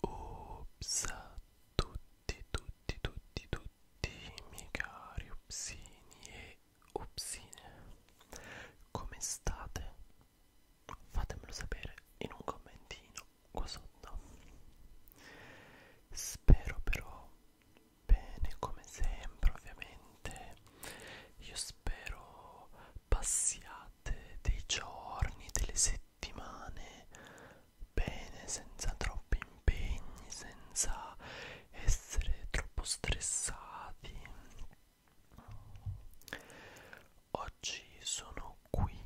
Ups tutti tutti tutti tutti miei cari upsini e upsine come state? Fatemelo sapere in un commentino qua sotto spero però bene come sempre ovviamente io spero passiate dei giorni delle settimane bene senza troppi impegni senza essere troppo stressati oggi sono sono qui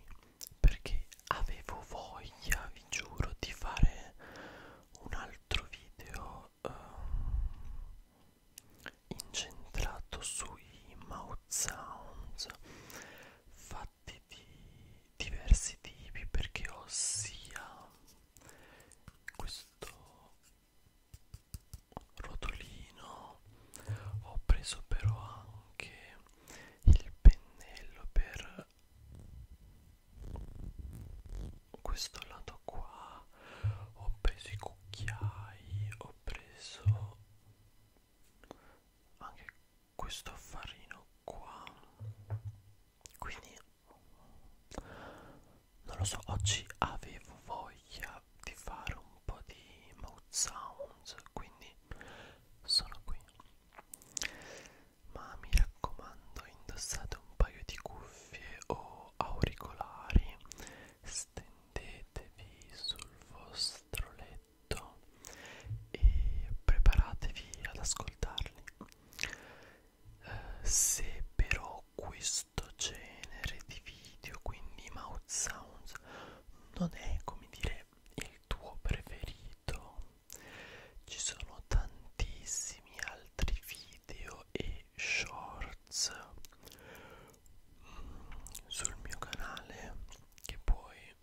perché avevo voglia, vi giuro, di fare un altro video um, incentrato sui mouth sounds fatti di diversi tipi perché ho sia questo rotolino ho preso però anche il pennello per questo lato qua ho preso i cucchiai ho preso anche questo farino qua quindi non lo so oggi avevo voglia di fare un po' di mouth sounds quindi sono qui ma mi raccomando indossate un paio di cuffie o auricolari stendetevi sul vostro letto e preparatevi ad ascoltarli eh, se però questo genere di video quindi mouth sounds non è come dire il tuo preferito ci sono tantissimi altri video e shorts mm, sul mio canale che puoi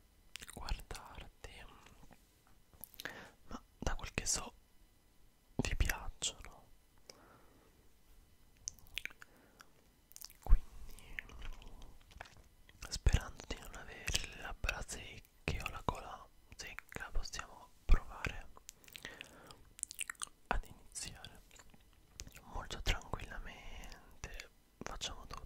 guardarti ma da quel che so vi piacciono quindi sperando di non avere le labbra secche o la gola secca possiamo provare ad iniziare molto tranquillamente facciamo tutto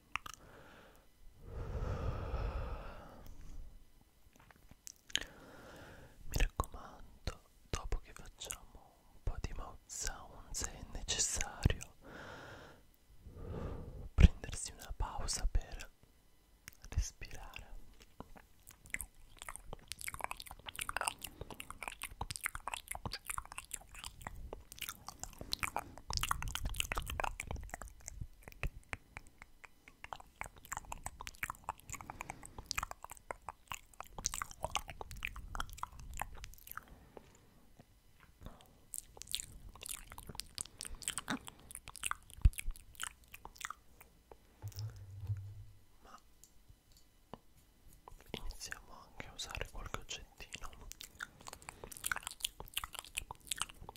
Mi raccomando, dopo che facciamo un po' di mouth sound, se è necessario prendersi una pausa per respirare. Ma iniziamo anche a usare qualche oggettino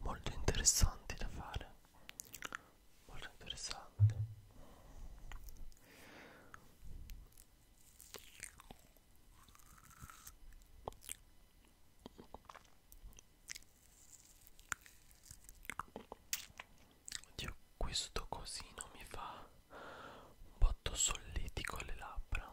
molto interessanti da fare molto interessante Oddio, questo cosino mi fa un botto solletico alle labbra.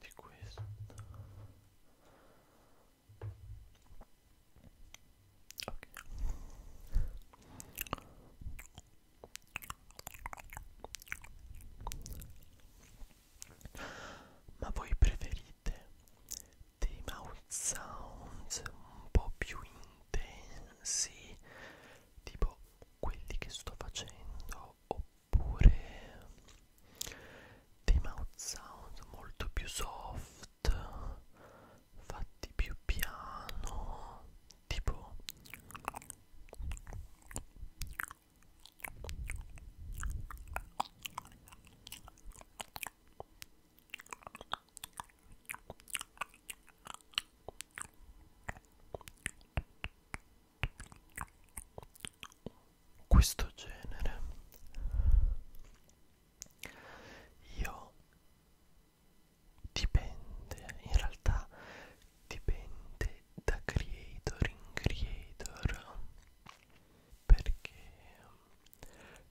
di questo ok ma voi preferite dei mouth sounds un po' più intensi tipo quelli che sto facendo oppure dei mouth sound molto più soft fatti più piano tipo questo genere io dipende in realtà dipende da creator in creator perché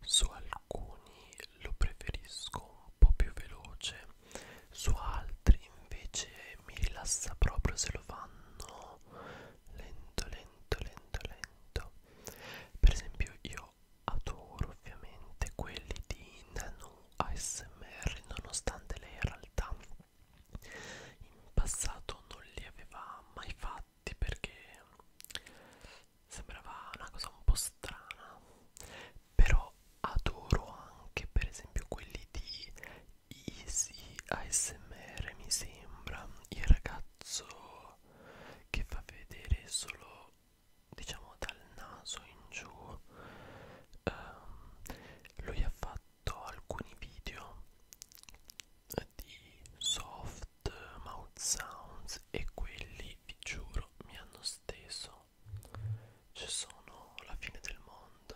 su alcuni lo preferisco un po' più veloce su altri invece mi rilassa proprio se lo fanno lento lento lento lento per esempio io adoro ovviamente quelli di Nano ASMR nonostante lei in realtà in passato non li aveva mai fatti perché sembrava una cosa un po' strana però adoro anche per esempio quelli di Easy ASMR mi sembra il ragazzo che fa vedere solo diciamo dal naso in giù um, lui ha fatto alcuni video di soft mouth sounds e quelli vi giuro mi hanno steso ci sono la fine del mondo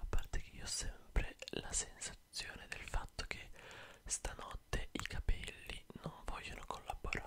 A parte che io ho sempre la sensazione del fatto che stanotte i capelli non vogliono collaborare.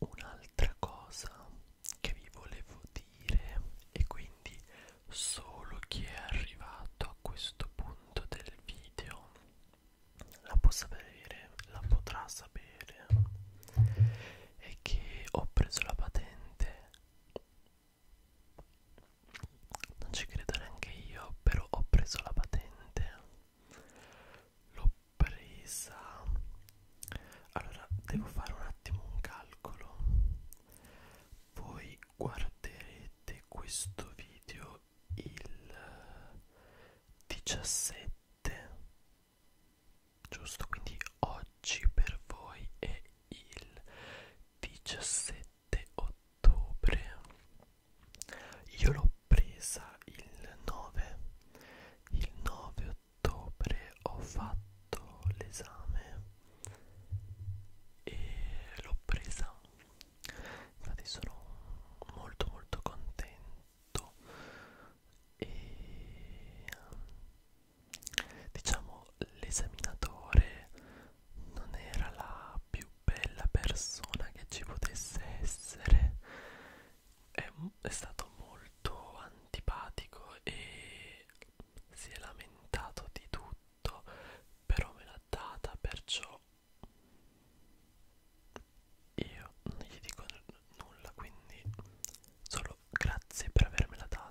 Un'altra cosa che vi volevo dire e quindi solo chi è arrivato a questo punto del video la può sapere, la potrà sapere è che ho preso la patente non ci credo neanche io però ho preso la patente l'ho presa allora devo fare un attimo un calcolo voi guarderete questo video il 17 giusto quindi oggi per voi è il 17 ottobre io l'ho presa il 9 il 9 ottobre ho fatto l'esame e l'ho presa infatti sono molto molto contento e diciamo l'esaminatore non era la più bella persona che ci potesse essere è, è stato molto antipatico e si è lamentato di tutto, però me l'ha data, perciò io non gli dico nulla, quindi solo grazie per avermela data.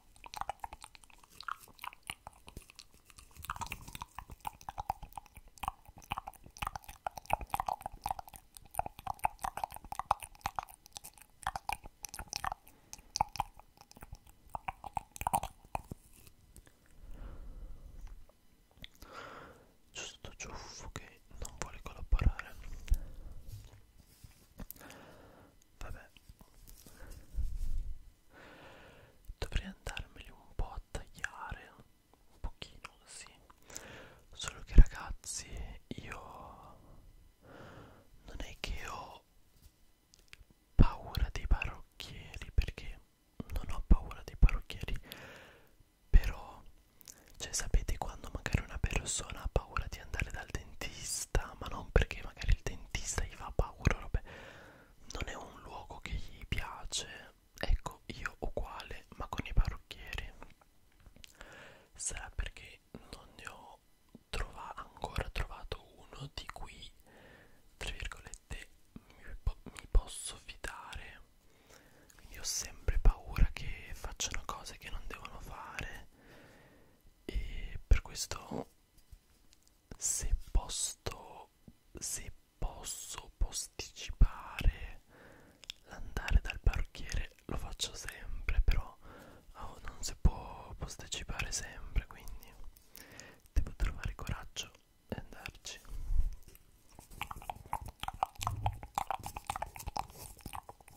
Giusto ciuffo che non vuole collaborare Vabbè. Dovrei andarmeli un po' a tagliare, un pochino, sì. Solo che ragazzi, io non è che ho paura dei parrucchieri, perché non ho paura dei parrucchieri, però, cioè sapete quando magari una persona ha paura di andare dal dentista? dentista, ma non perché magari il dentista gli fa paura, vabbè, non è un luogo che gli piace, ecco io uguale, ma con i parrucchieri. Sarà perché non ne ho trova, ancora trovato uno di cui, tra virgolette, mi, po mi posso fidare. Quindi ho sempre paura che facciano cose che non devono fare e per questo se posso se posso posticipare l'andare dal parrucchiere lo faccio sempre però oh, non si può posticipare sempre quindi devo trovare coraggio e andarci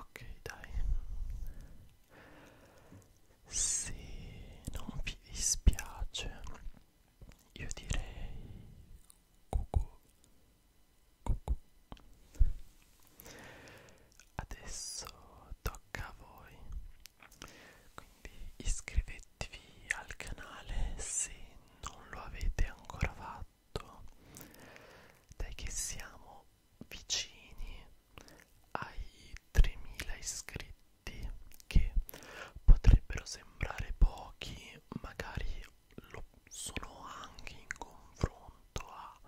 ok dai se non vi dispiace io direi cucù cucù adesso tocca a voi quindi quindi iscrivetevi al canale se non lo avete ancora fatto dai che siamo vicini ai 3000 iscritti che potrebbero sembrare pochi magari lo sono anche in confronto a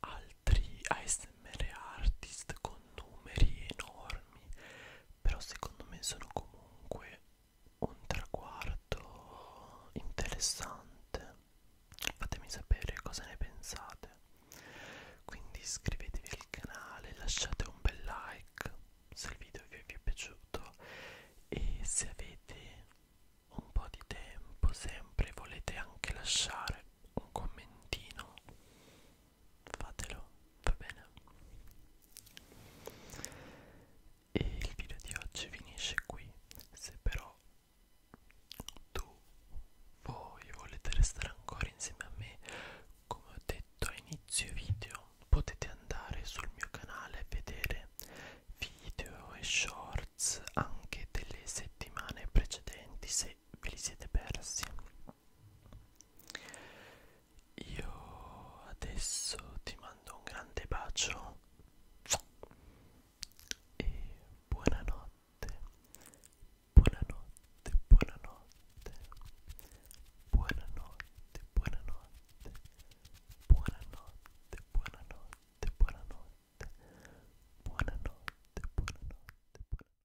altri ASMR artist con numeri enormi però secondo me sono comunque un traguardo interessante fatemi sapere cosa ne pensate quindi iscrivetevi al canale lasciate un bel like se il video vi è piaciuto e se avete un po' di tempo sempre volete anche lasciare un commentino fatelo, va bene? E il video di oggi finisce qui, se però tu, voi volete restare ancora insieme a me, come ho detto a inizio video, potete andare sul mio canale e vedere video e shorts anche delle settimane precedenti se li, ve li siete persi io adesso ti mando un grande bacio e buonanotte buonanotte buonanotte buonanotte buonanotte buonanotte buonanotte buonanotte buonanotte buonanotte buonanotte